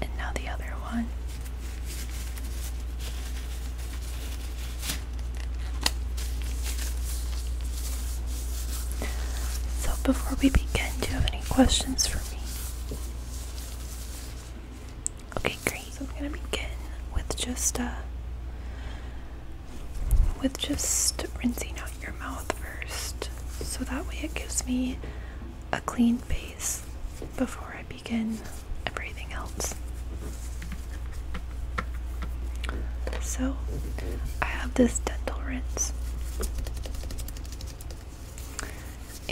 And now the other one. So, before we begin, do you have any questions for me? Okay, great. So I'm gonna begin with just uh with just rinsing out your mouth first. So that way it gives me a clean base before I begin everything else. So I have this dental rinse.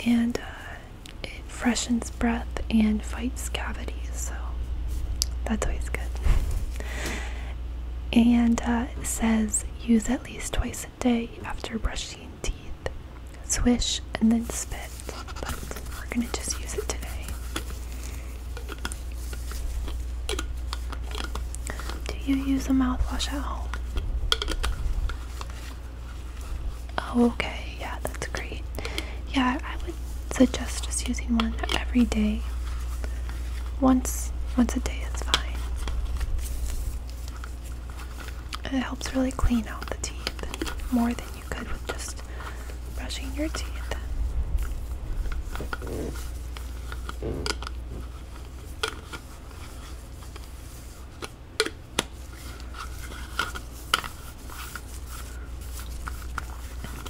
And uh, it freshens breath and fights cavities, so that's always good. and uh, it says use at least twice a day after brushing teeth. Swish and then spit. But we're gonna just use it today. Do you use a mouthwash at home? Oh, okay, yeah, that's great. Yeah, I would suggest just using one every day. Once once a day is fine. it helps really clean out the teeth more than you could with just brushing your teeth.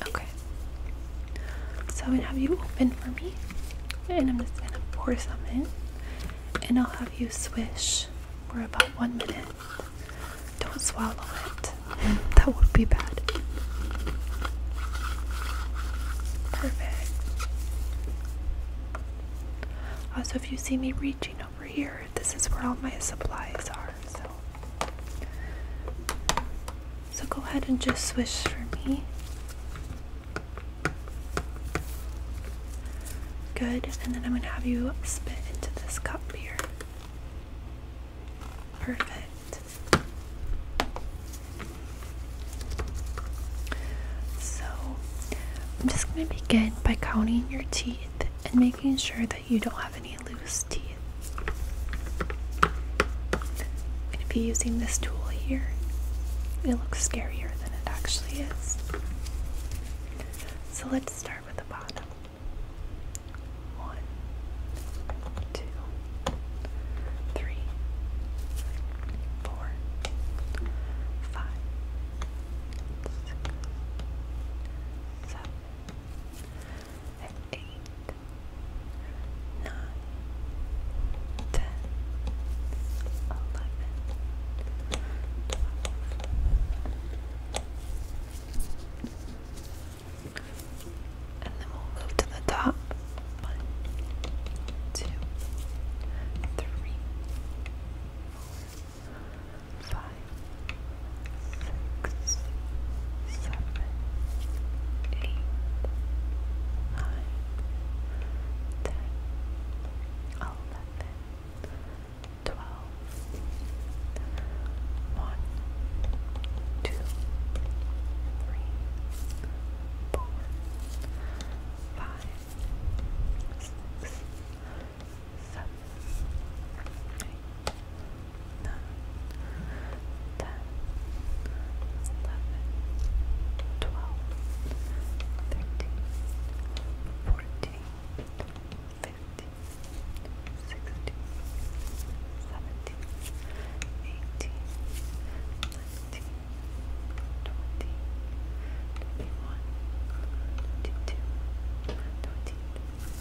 Okay. So I'm gonna have you open for me, and I'm just gonna pour some in, and I'll have you swish for about one minute. Don't swallow it, that would be bad. Perfect. Also, if you see me reaching over here, this is where all my supplies are. So, so go ahead and just swish for me. Good, and then I'm gonna have you spit into this cup here. Perfect. So, I'm just gonna begin by counting your teeth and making sure that you don't have any loose teeth. I'm gonna be using this tool here, it looks scarier than it actually is. So let's start with the bottom. One, two, three, four, five, six, seven eight, nine, ten, eleven, twelve, and then we'll move to the top. One, two, five, six, seven, eight, nine, ten, eleven, twelve, one, two, three, four, five, six. Seven, seven, eight, nine, ten, eleven, twelve, thirteen, fourteen, fifteen, sixteen, seventeen, eighteen, nineteen, twenty, twenty-one, twenty-two, twenty-three. 24,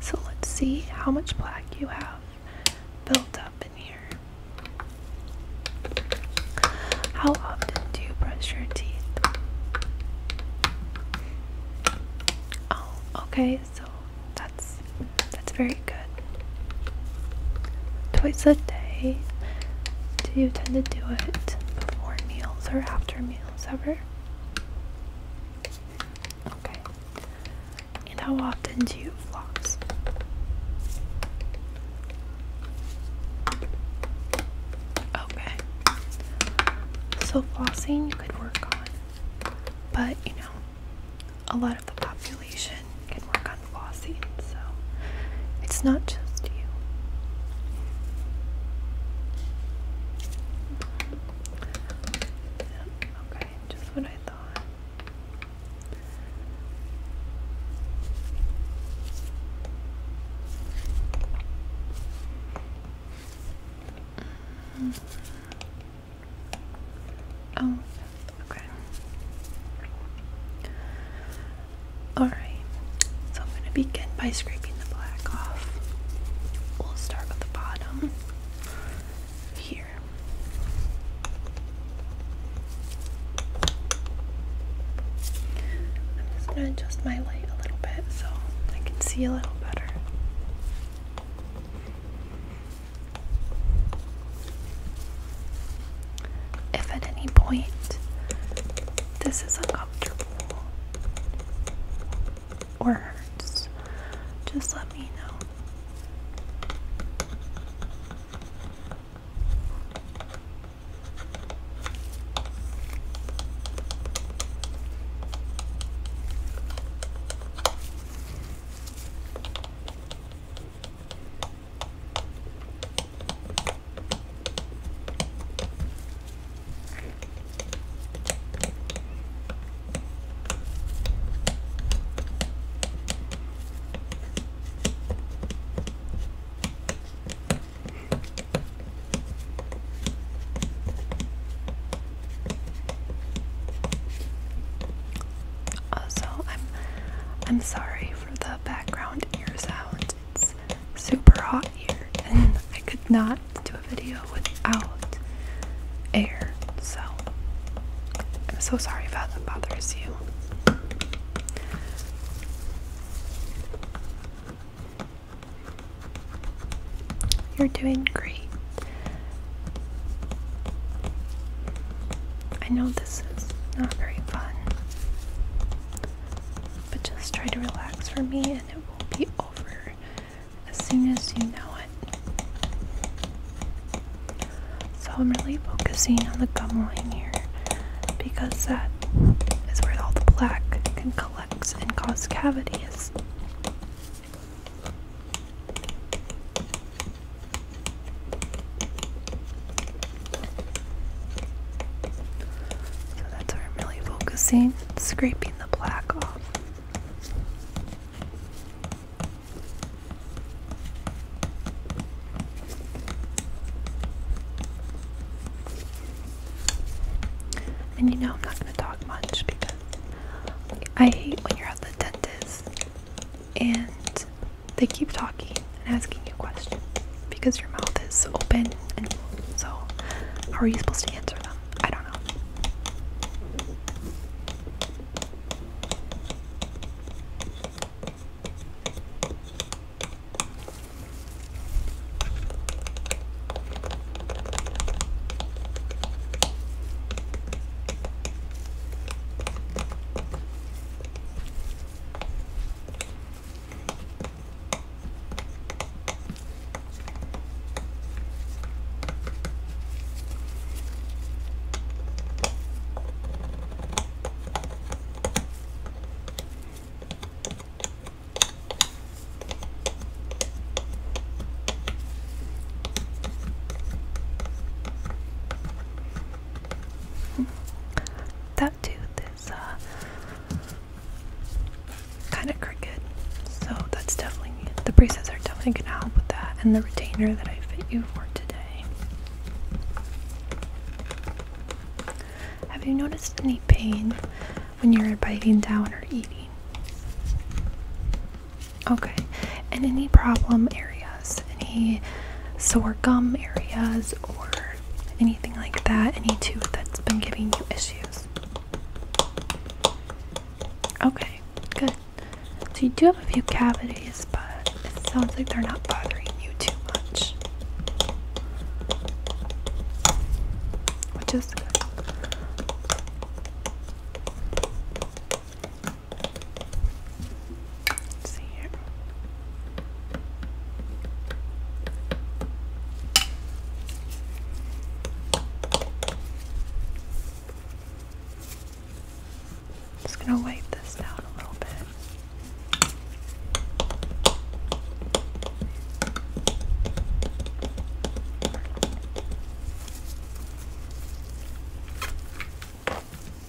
So let's see how much black you have built up in here. How often do you brush your teeth? Oh, okay, so that's that's very Twice a day. Do you tend to do it before meals or after meals ever? Okay. And how often do you floss? Okay. So flossing you could work on. But you know, a lot of the population can work on the flossing, so it's not just you. Mm-hmm. Oh, Okay. Alright, so I'm going to begin by scraping the black off. We'll start with the bottom here. I'm just going to adjust my light a little bit so I can see a little better. If at any point this is uncomfortable or hurts, just let me know. Also, I'm I'm sorry for the background it's super hot here, and I could not do a video without air, so I'm so sorry if that bothers you. You're doing great. I know this is not very fun. But just try to relax for me and it will be over as soon as you know it. So I'm really focusing on the gum line here because that is where all the plaque can collect and cause cavities. So that's where I'm really focusing, scraping the black off. And you know I'm not going to talk much because I hate when you're at the dentist and they keep talking and asking you questions because your mouth is open and so how are you supposed to answer them? I don't know. That tooth uh, kind of crooked. So that's definitely, the braces are definitely going to help with that. And the retainer that I fit you for today. Have you noticed any pain when you're biting down or eating? Okay. And any problem areas? Any sore gum areas or anything like that, any tooth that's been giving you issues. Okay, good. So you do have a few cavities, but it sounds like they're not bothering you too much. Which is good. Let's Just going to wipe this down a little bit.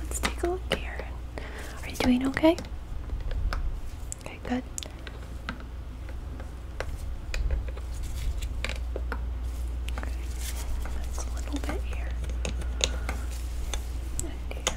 Let's take a look here. Are you doing okay? Okay, good. Okay, that's a little bit here. And here.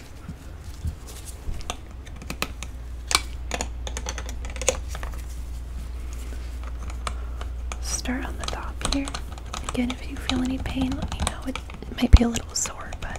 Start on the top here. Again, if you feel any pain, let me know. It, might be a little sore, but.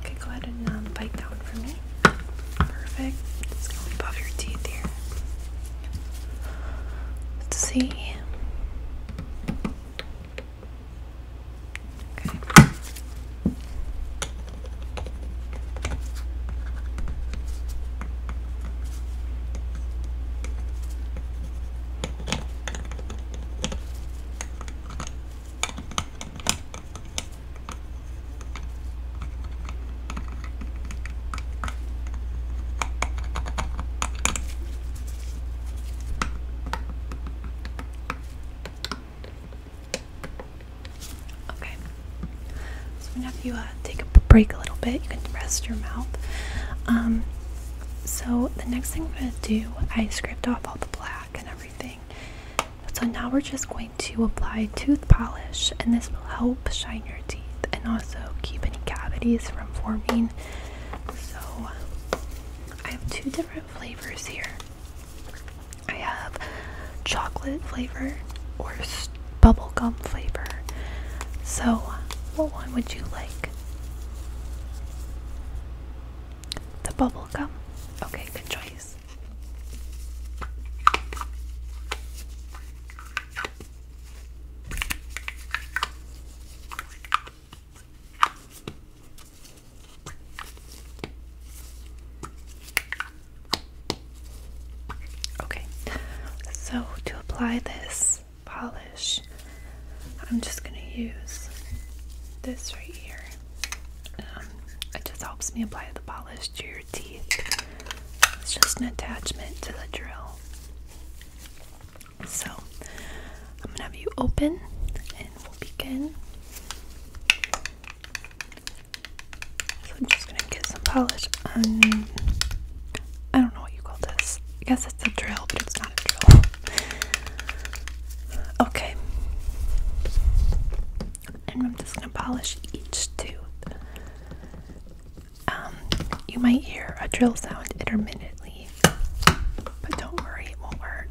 Okay, go ahead and um, bite that one for me. Perfect. Just go above your teeth here. Let's see. Okay, so I'm you uh, take a break a little bit. You can rest your mouth. Um, so the next thing I'm going to do, I scraped off all the black and everything. So now we're just going to apply tooth polish, and this will help shine your teeth and also keep any cavities from forming. So I have two different flavors here. I have chocolate flavor or bubble gum flavor. So, what one would you like? The bubble gum. Okay, good choice. Okay, so to apply this, polish, I'm just going to use this right here. Um, it just helps me apply the polish to your teeth. It's just an attachment to the drill. So I'm going to have you open and we'll begin. So I'm just going to get some polish on. I don't know what you call this. I guess it's a drill, but it's not a drill. Okay. And I'm just gonna polish each tooth. Um, you might hear a drill sound intermittently, but don't worry, it won't hurt.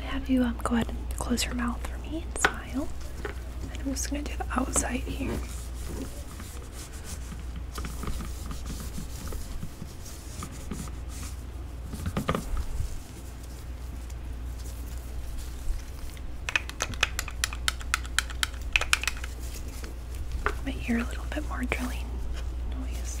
have you um, go ahead and close your mouth for me and smile. And I'm just going to do the outside here. might hear a little bit more drilling noise.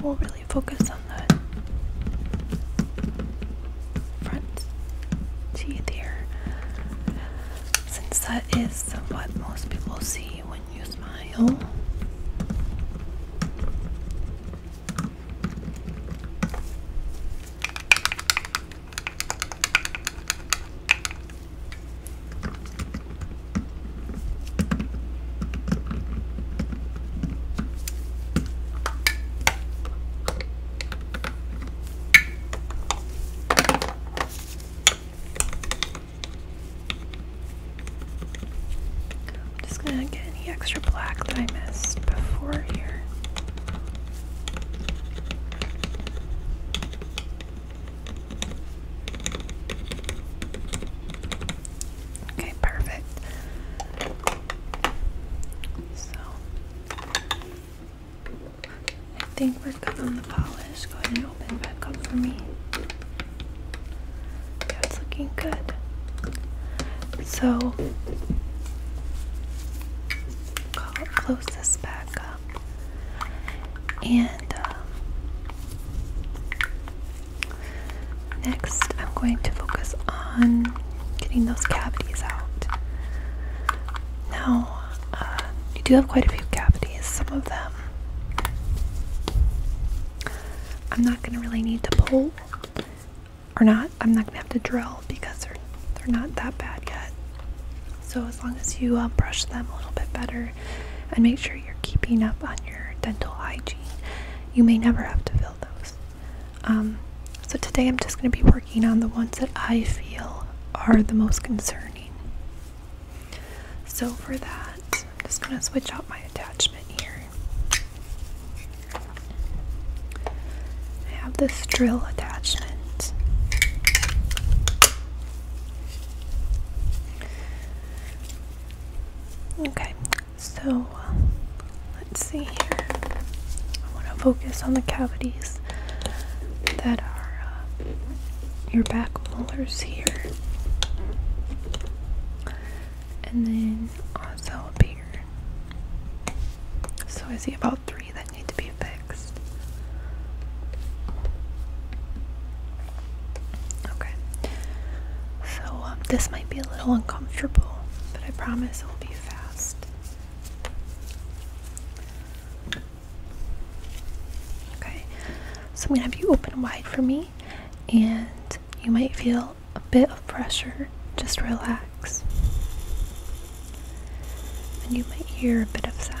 We'll really focus on the front teeth here, since that is what most people see when you smile. I'm just going to get any extra black that I missed before here. Okay, perfect. So I think we're good on the polish. Go ahead and open back up for me. Yeah, looking good. So close this back up and um, Next, I'm going to focus on getting those cavities out. Now, uh, you do have quite a few cavities, some of them I'm not going to really need to pull or not. I'm not going to have to drill because they're, they're not that bad yet. So, as long as you uh, brush them a little bit better, and make sure you're keeping up on your dental hygiene. You may never have to fill those. Um, so today I'm just going to be working on the ones that I feel are the most concerning. So for that, I'm just going to switch out my attachment here. I have this drill attachment. Okay, so uh, let's see here. I want to focus on the cavities that are uh, your back molars here, and then also up here. So I see about three that need to be fixed. Okay. So um, this might be a little uncomfortable, but I promise it will be fast. Okay. So I'm gonna have you open wide for me, and you might feel a bit of pressure. Just relax. And you might hear a bit of sound.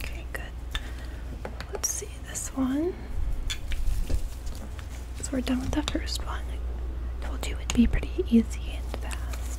Okay, good. Let's see this one. So we're done with the first one. I told you it'd be pretty easy and fast.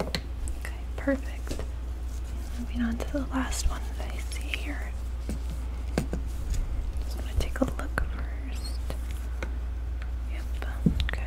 Okay, perfect. Moving on to the last one that I see here. Just want to take a look first. Yep, okay.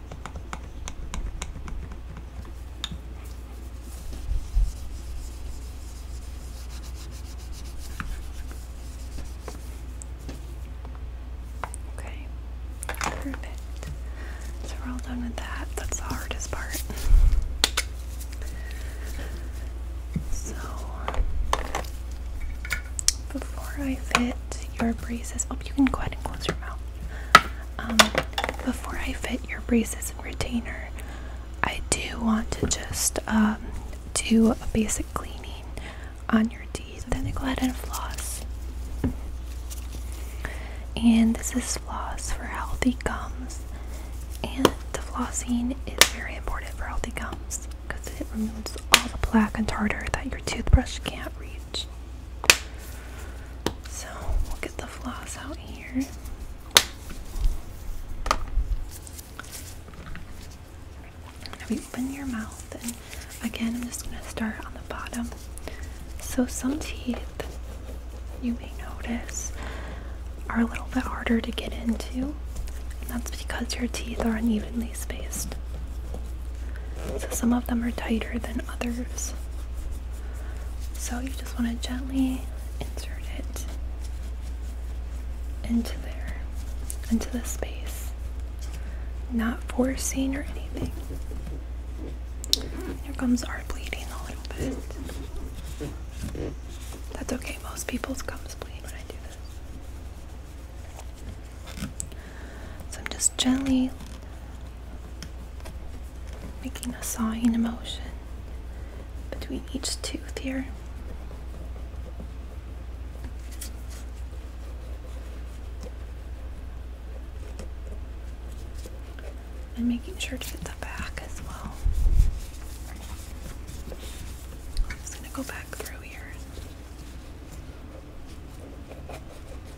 Okay, perfect. So we're all done with that. That's the hardest part. So, before I fit your braces, oh, you can go ahead and close your mouth. Um, before I fit your braces and retainer, I do want to just um, do a basic cleaning on your teeth. Then I go ahead and floss. And this is floss for healthy gums. And the flossing is very important for healthy gums because it removes all the plaque and tartar that your toothbrush can't reach. So we'll get the floss out here. Now we open your mouth, and again, I'm just going to start on the bottom. So, some teeth you may notice are a little bit harder to get into, that's because your teeth are unevenly spaced. So, some of them are tighter than others. So you just want to gently insert it into there, into the space, not forcing or anything. Your gums are bleeding a little bit. That's okay, most people's gums bleed when I do this. So I'm just gently making a sawing motion between each tooth here. And making sure to get the back as well. I'm just going to go back through here.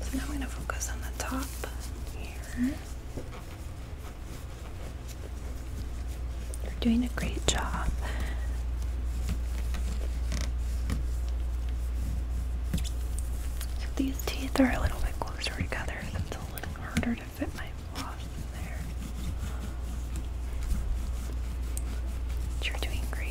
So now I'm going to focus on the top here. You're doing a great job. So these teeth are a little bit closer together, so it's a little harder to fit my floss in there. But you're doing great.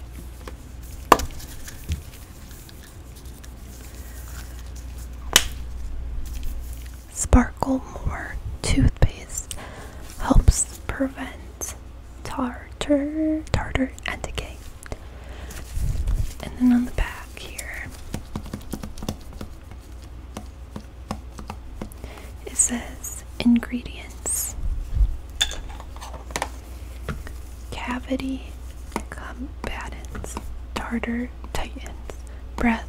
Sparkle More toothpaste helps prevent tartar, tartar and decay. And then on the back here, it says ingredients cavity combatants, tartar titans, breath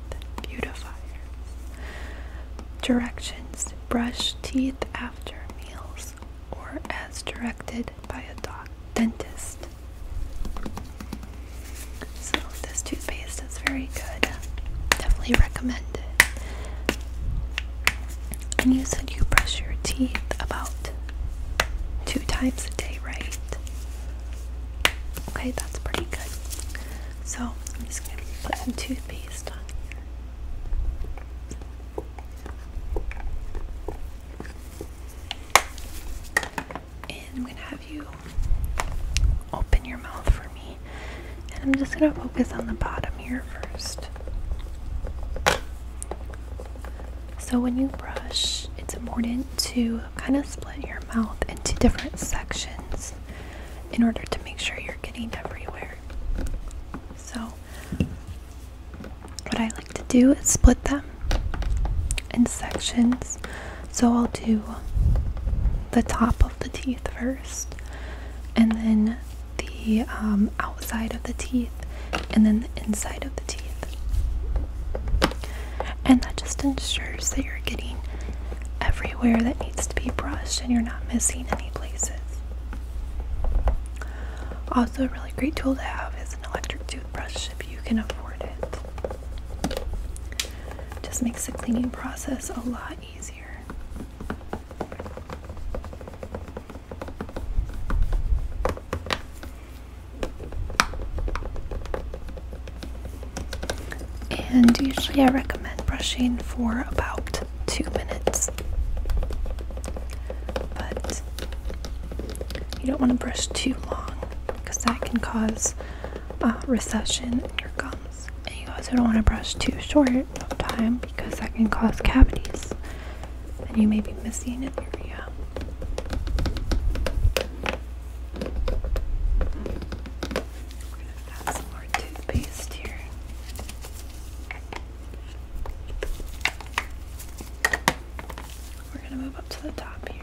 beautifiers. Directions brush teeth after meals or as directed by a doc dentist. So, this toothpaste is very good. Definitely recommend it. And you said you brush your teeth about two times a day, right? Okay, that's pretty good. So I'm just gonna put some toothpaste on And I'm gonna have you open your mouth for me and I'm just going to focus on the bottom here first. So when you brush, it's important to kind of split your mouth into different sections in order to make sure you're getting everywhere. So what I like to do is split them in sections. So I'll do the top of the teeth first and then the um, outside of the teeth and then the inside of the teeth. And that just ensures that you're getting everywhere that needs to be brushed and you're not missing any places. Also, a really great tool to have is an electric toothbrush if you can afford it. Just makes the cleaning process a lot easier. And usually I recommend brushing for about two minutes. But you don't want to brush too long because that can cause uh, recession in your gums. And you also don't want to brush too short of time because that can cause cavities and you may be missing it. area. We're going to add some more toothpaste here. We're going to move up to the top here.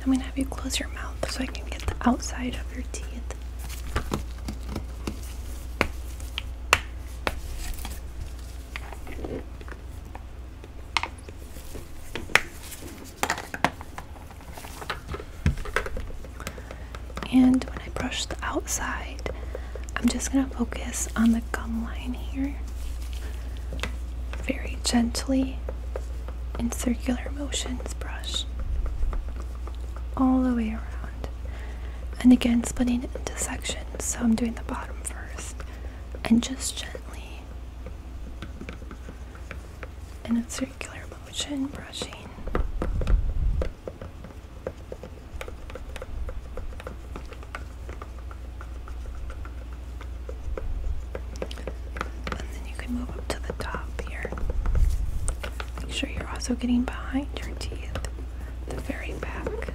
I'm going to have you close your mouth so I can get the outside of your teeth. And when I brush the outside, I'm just going to focus on the gum line here. Very gently in circular motions brush all the way around. And again, splitting it into sections. So I'm doing the bottom first and just gently in a circular motion brushing and then you can move up to the top here make sure you're also getting behind your teeth the very back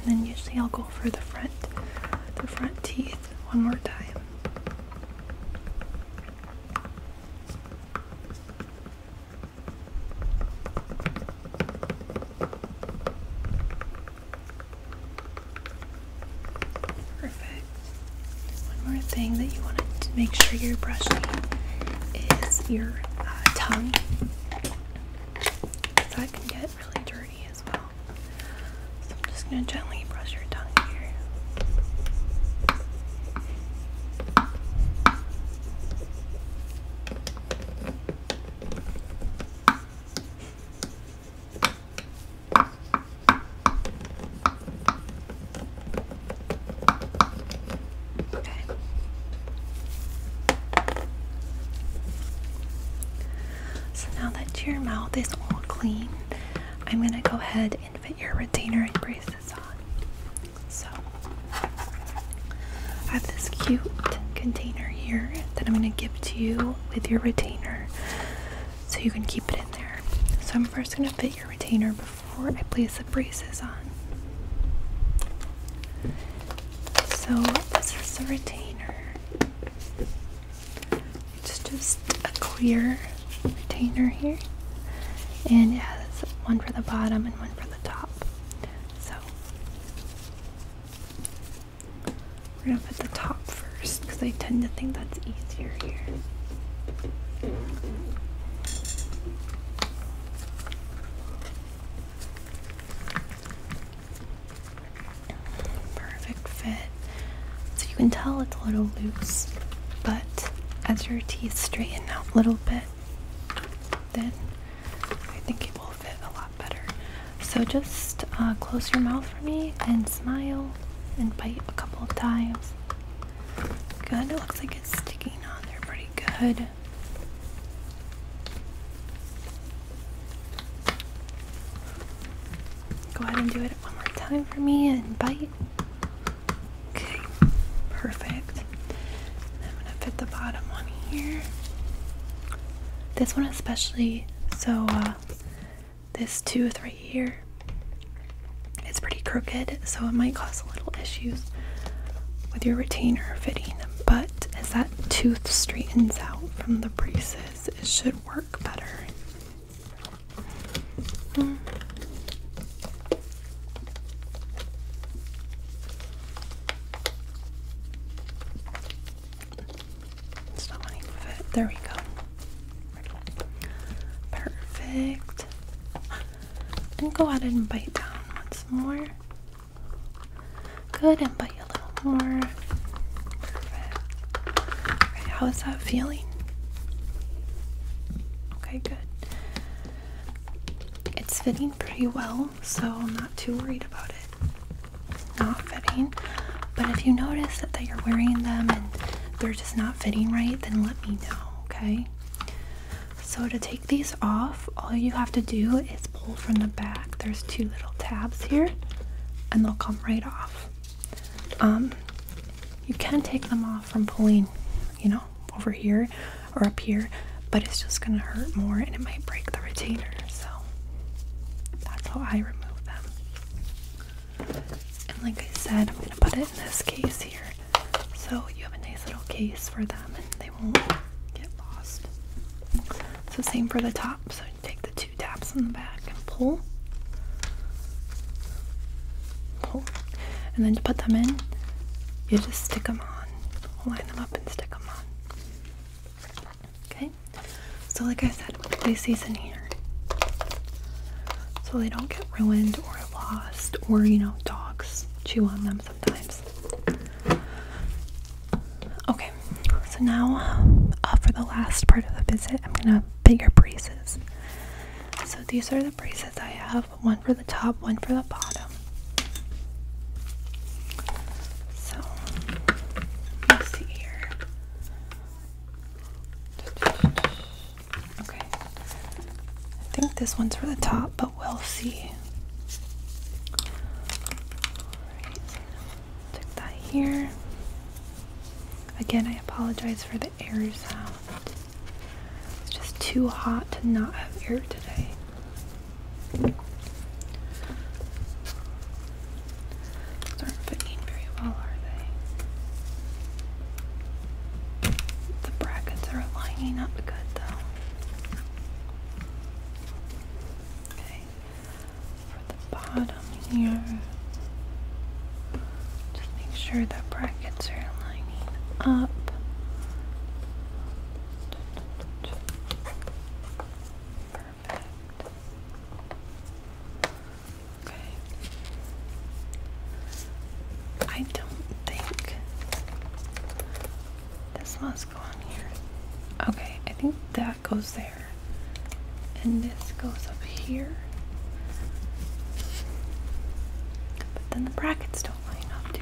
and then usually I'll go for the front, the front teeth one more time. Perfect. One more thing that you want to make sure you're brushing is your tongue, uh, tongue. That can get really dirty as well. So I'm just going to gently brush your tongue here. Okay. So now that your mouth is all clean, I'm going to go ahead and fit your retainer and braces on. So I have this cute container here that I'm going to give to you with your retainer so you can keep it in there. So I'm first going to fit your retainer before I place the braces on. So this is the retainer. It's just a clear retainer here and it has one for the bottom and one for the top. So we're gonna put the top first because I tend to think that's easier here. Perfect fit. So you can tell it's a little loose, but as your teeth straighten out a little bit, then I think it will fit a lot better. So just uh, close your mouth for me and smile and bite a couple of times. Good. It looks like it's sticking on there pretty good. Go ahead and do it one more time for me and bite. Okay, perfect. I'm gonna fit the bottom one here. This one especially, so uh, this tooth right it's pretty crooked, so it might cause a little issues with your retainer fitting. But as that tooth straightens out from the braces, it should work better. It's not wanting to There we go. Perfect. And go ahead and bite down once more. Good, and bite a little more. Perfect. how is that feeling? Okay, good. It's fitting pretty well so I'm not too worried about it not fitting. But if you notice that, that you're wearing them and they're just not fitting right, then let me know, okay? So to take these off, all you have to do is pull from the back. There's two little tabs here and they'll come right off. Um, you can take them off from pulling, you know, over here or up here, but it's just gonna hurt more and it might break the retainer. So that's how I remove them. And like I said, I'm going to put it in this case here. So you have a nice little case for them and they won't get lost. So same for the top. So take the two tabs in the back and pull. Pull. And then to put them in, you just stick them on. Line them up and stick them on. Okay, so like I said, we'll place these in here so they don't get ruined or lost, or you know, dogs chew on them sometimes. Okay, so now uh, for the last part of the visit, I'm gonna fit your braces. So these are the braces I have one for the top, one for the bottom. So let's see here. Okay. I think this one's for the top, but we'll see. Alright, that here. Again, I apologize for the air sound. It's just too hot to not have air today. Those aren't fitting very well, are they? The brackets are lining up good, though. Okay, for the bottom here, just make sure the brackets are lining up. Okay. I don't think this must go on here. Okay, I think that goes there. And this goes up here. But then the brackets don't line up, do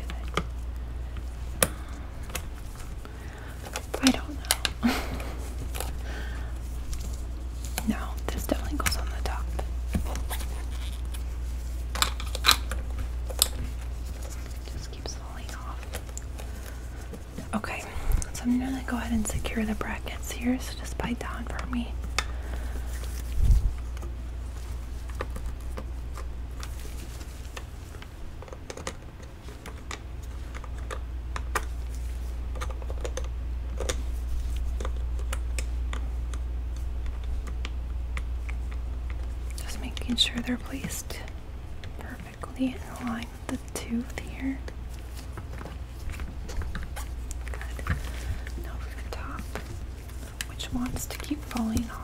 they? I don't know. no, this definitely goes on the top. Just keeps falling off. Okay, so I'm gonna go ahead and secure the brackets here. So just bite down for me. Just making sure they're placed perfectly in line with the tooth here. Now for the top, which wants to keep falling off.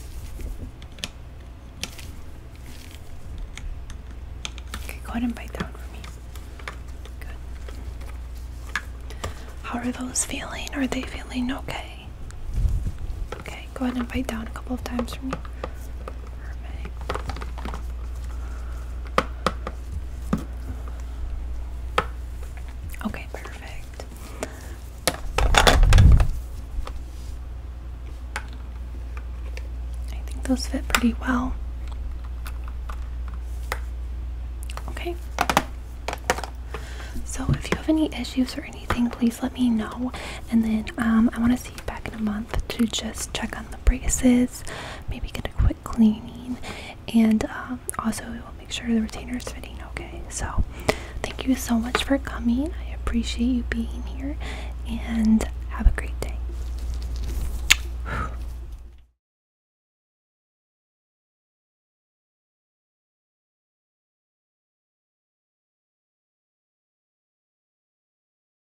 Okay, go ahead and bite down for me. Good. How are those feeling? Are they feeling okay? Okay, go ahead and bite down a couple of times for me. Okay, perfect. I think those fit pretty well. Okay. So if you have any issues or anything, please let me know. And then um, I want to see you back in a month to just check on the braces maybe get a quick cleaning, and um, also we will make sure the retainer is fitting okay. So, thank you so much for coming. I appreciate you being here, and have a great day.